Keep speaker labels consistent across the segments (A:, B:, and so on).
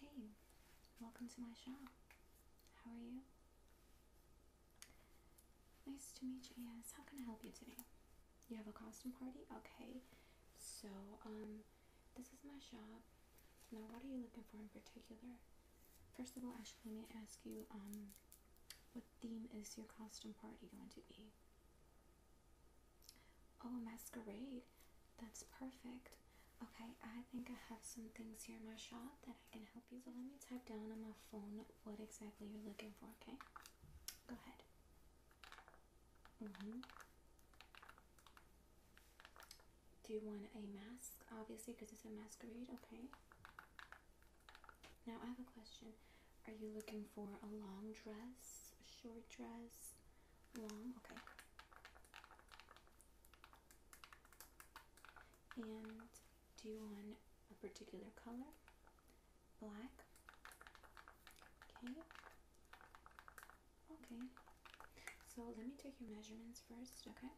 A: Hey, welcome to my shop. How are you? Nice to meet you. Yes, how can I help you today? You have a costume party? Okay. So, um, this is my shop. Now, what are you looking for in particular? First of all, actually, let me ask you, um, what theme is your costume party going to be? Oh, masquerade. That's perfect. Okay, I think I have some things here in my shop that I can help you with. So let me type down on my phone what exactly you're looking for, okay? Go ahead. Mm-hmm. Do you want a mask? Obviously, because it's a masquerade, okay. Now I have a question. Are you looking for a long dress, a short dress, long? Okay. And do you want a particular color? Black? Okay. Okay. So let me take your measurements first, okay?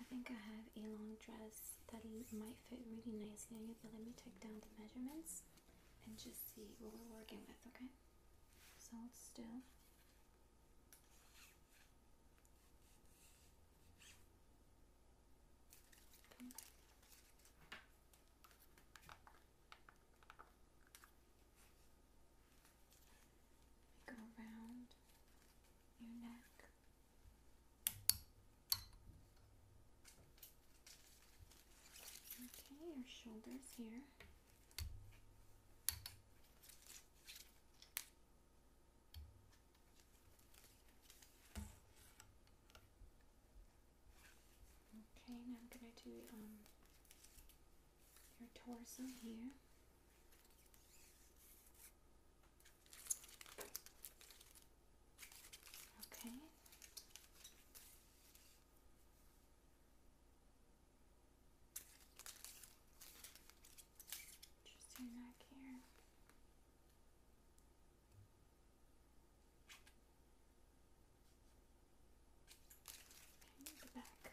A: I think I have a long dress that might fit really nicely on you, let me take down the measurements and just see what we're working with, okay? So it's still. Okay. We go around your neck. Okay, your shoulders here. Okay, now I'm going to do um, your torso here. Okay. Just your here. Okay, back.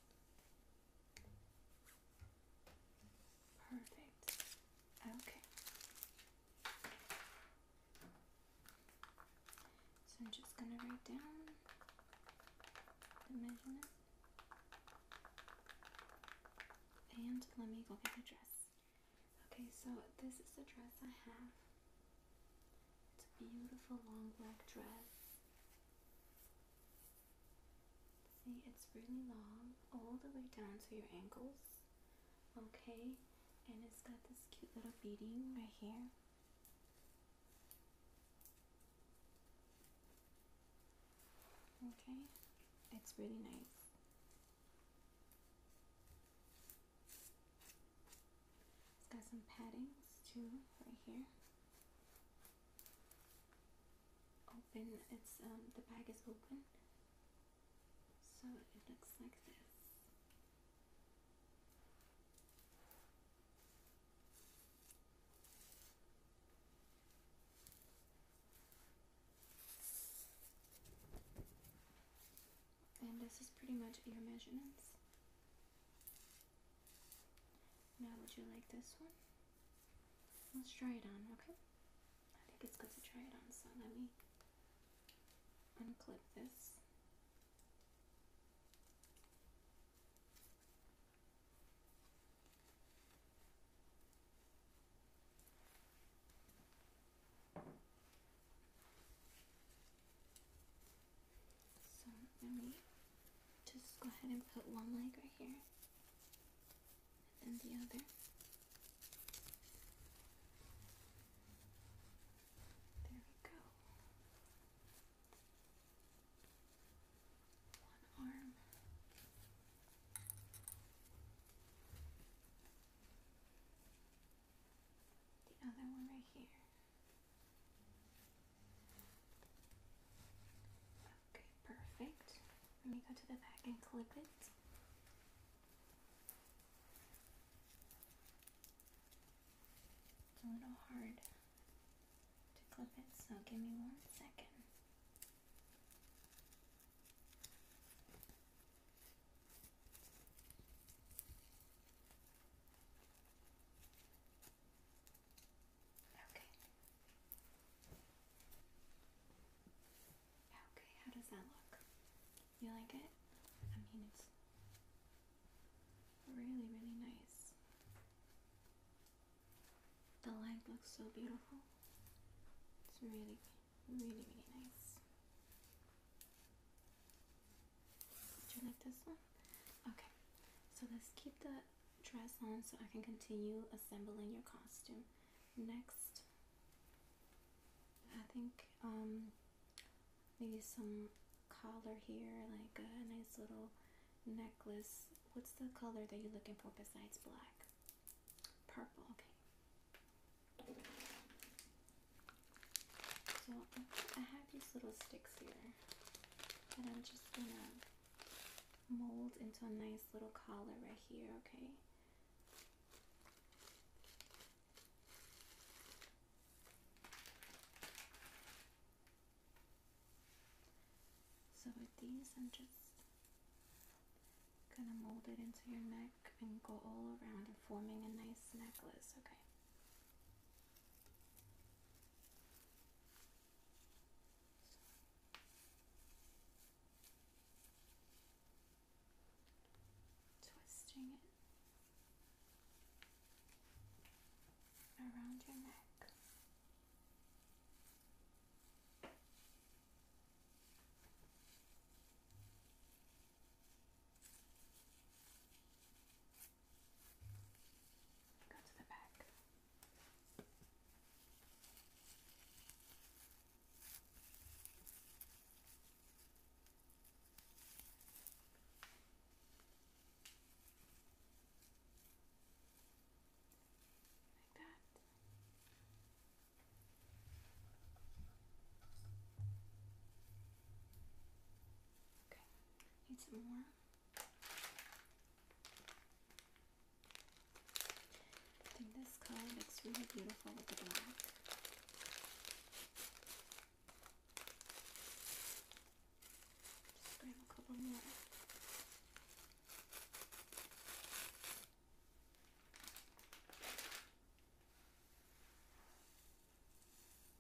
A: Perfect. Okay. So I'm just going to write down the measurement. And let me go get the dress. Okay, so this is the dress I have. It's a beautiful long black dress. See, it's really long, all the way down to your ankles. Okay, and it's got this cute little beading right here. Okay, it's really nice. It's got some paddings too right here. Open, it's um, the bag is open, so it looks like this. And this is pretty much your measurements. Now, would you like this one? Let's try it on, okay? I think it's good to try it on, so let me unclip this. So let me just go ahead and put one leg right here and the other. There we go. One arm. The other one right here. Okay, perfect. Let me go to the back and clip it. It's a little hard to clip it, so give me one second. Okay. Okay, how does that look? You like it? I mean, it's really, really nice. The light looks so beautiful. It's really, really, really nice. Did you like this one? Okay, so let's keep the dress on so I can continue assembling your costume. Next, I think um, maybe some collar here, like a nice little necklace. What's the color that you're looking for besides black? Purple, okay. So I have these little sticks here and I'm just gonna mold into a nice little collar right here, okay? So with these, I'm just gonna mold it into your neck and go all around forming a nice necklace, okay? So, twisting it around your neck. Go to the back. Like that need some more. I think this color looks really beautiful with the black. Just grab a couple more.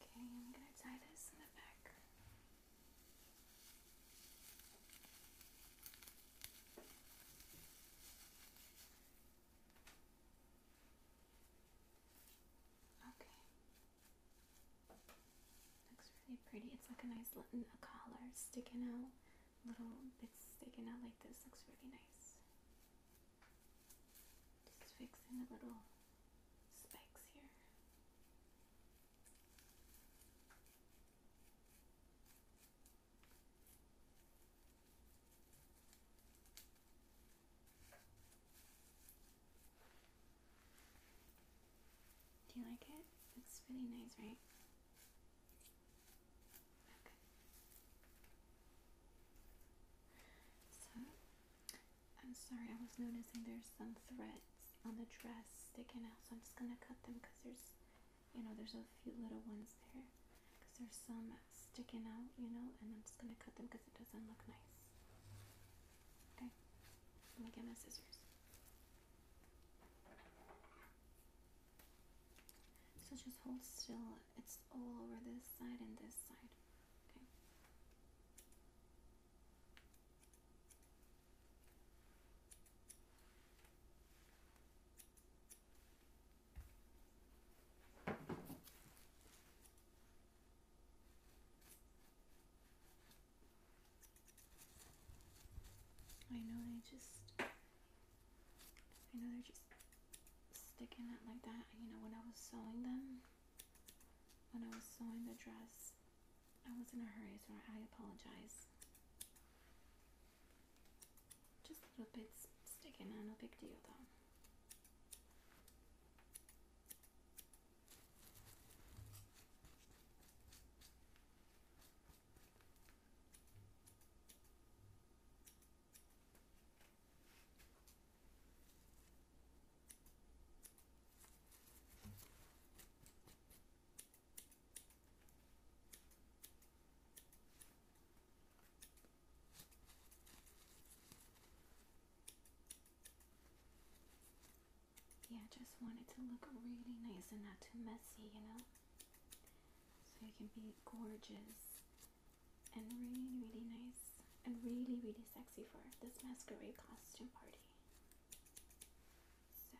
A: Okay, I'm going to tie this in the back. Okay, Okay. Looks really pretty. It's like a nice little collar sticking out, little bits sticking out like this. Looks really nice. Just fixing the little spikes here. Do you like it? Looks really nice, right? Okay. So, I'm sorry, I was noticing there's some threads on the dress sticking out, so I'm just gonna cut them because there's you know, there's a few little ones there because there's some sticking out, you know, and I'm just going to cut them because it doesn't look nice. Okay, let me get my scissors. So just hold still. It's all over this side and this side. Okay. I know they just, I know they're just sticking out like that. You know, when I was sewing them, when I was sewing the dress, I was in a hurry, so I apologize. Just little bits sticking out, no big deal though. Yeah, just want it to look really nice and not too messy, you know? So it can be gorgeous and really, really nice and really, really sexy for this masquerade costume party. So,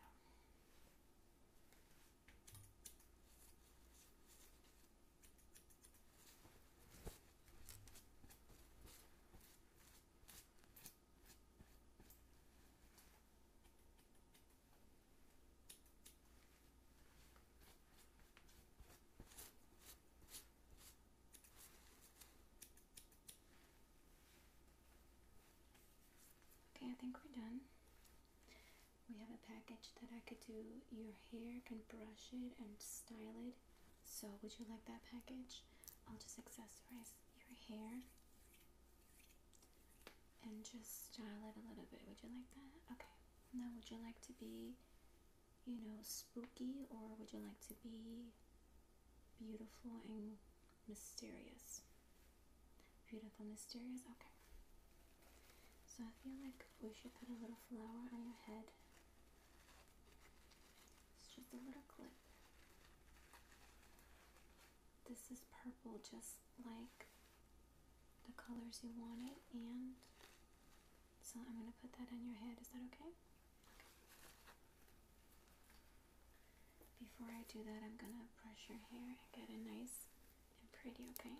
A: Okay, I think we're done. We have a package that I could do your hair, can brush it and style it. So, would you like that package? I'll just accessorize your hair and just style it a little bit. Would you like that? Okay. Now, would you like to be, you know, spooky or would you like to be beautiful and mysterious. Beautiful, mysterious. Okay. So I feel like we should put a little flower on your head. It's just a little clip. This is purple, just like the colors you wanted, and so I'm gonna put that on your head. Is that okay? okay. Before I do that, I'm gonna brush your hair and get it nice and pretty, okay? Okay,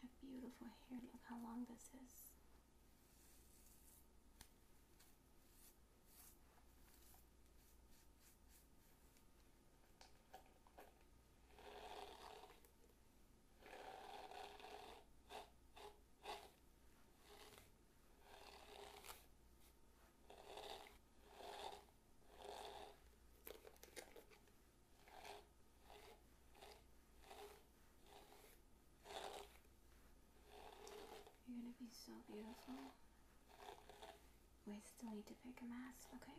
A: Have beautiful hair. Look how long this is. You're gonna be so beautiful. We still need to pick a mask, okay?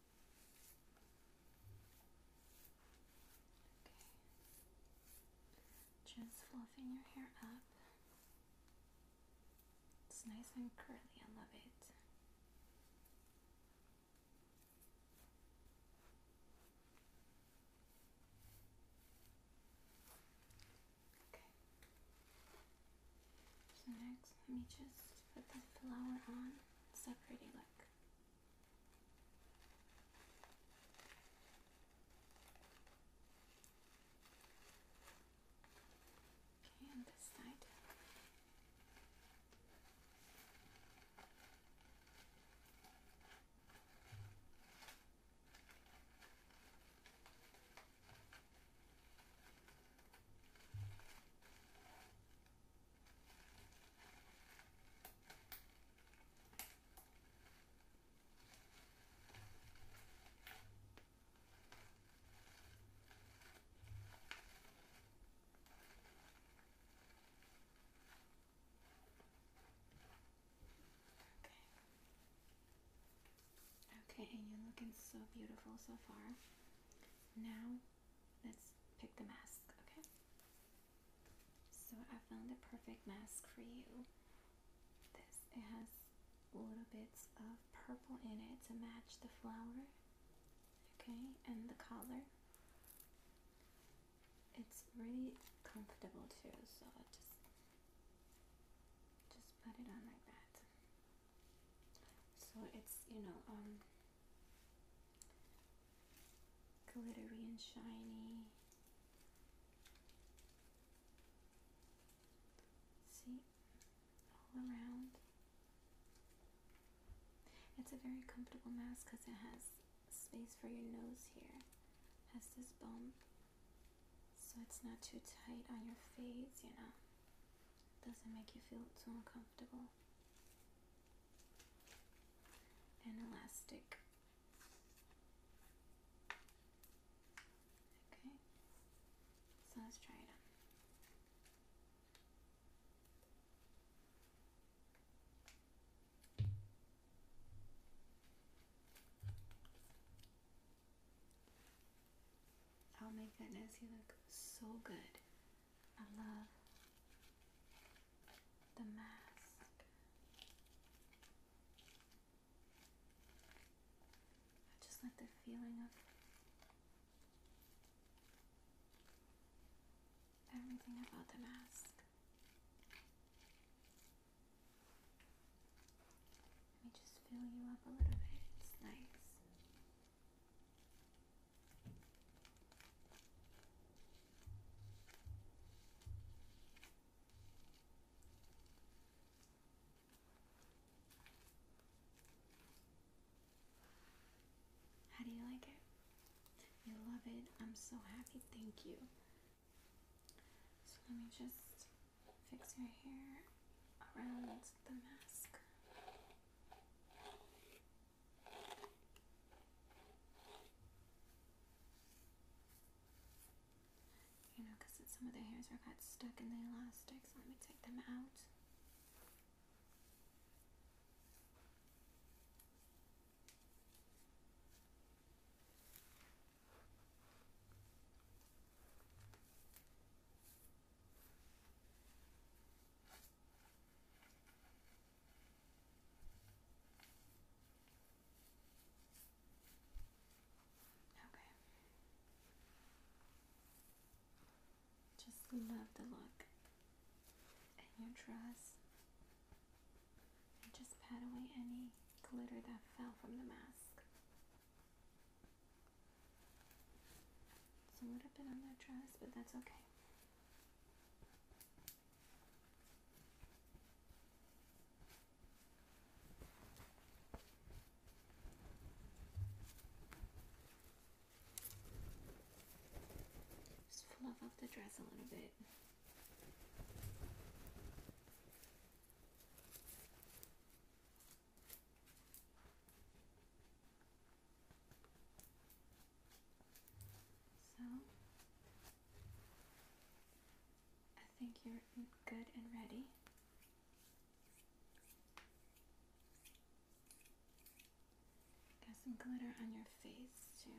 A: Just fluffing your hair up. It's nice and curly, I love it. Okay. So next, let me just put the flower on. It's a Okay, on this side. Okay, okay, and you're looking so beautiful so far. Now let's pick the mask, okay? So I found the perfect mask for you. This it has little bits of purple in it to match the flower, okay, and the collar. It's really comfortable too, so I just just put it on like that. So it's, you know, um, glittery and shiny. See, all around. It's a very comfortable mask because it has space for your nose here. It has this bump, so it's not too tight on your face, you know. Does it make you feel so uncomfortable? And elastic. Okay, so let's try it on i Oh my goodness, you look so good. I love the mask. I just like the feeling of everything about the mask. Let me just fill you up a little bit. nice. How do you like it? You love it. I'm so happy. Thank you. So let me just Fix your hair around the mask. You know, because some of the hairs are got stuck in the elastic, so let me take them out. Okay. Just love the look and your dress. And just pat away any glitter that fell from the mask. It's a little bit on that dress, but that's okay. Just fluff up the dress a little bit. So, I think you're good and ready. Got some glitter on your face, too.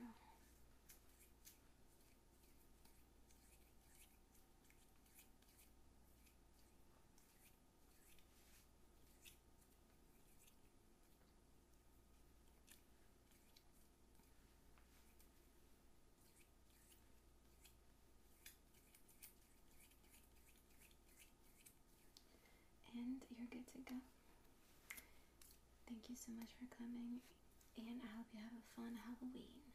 A: And you're good to go. Thank you so much for coming, and I hope you have a fun Halloween.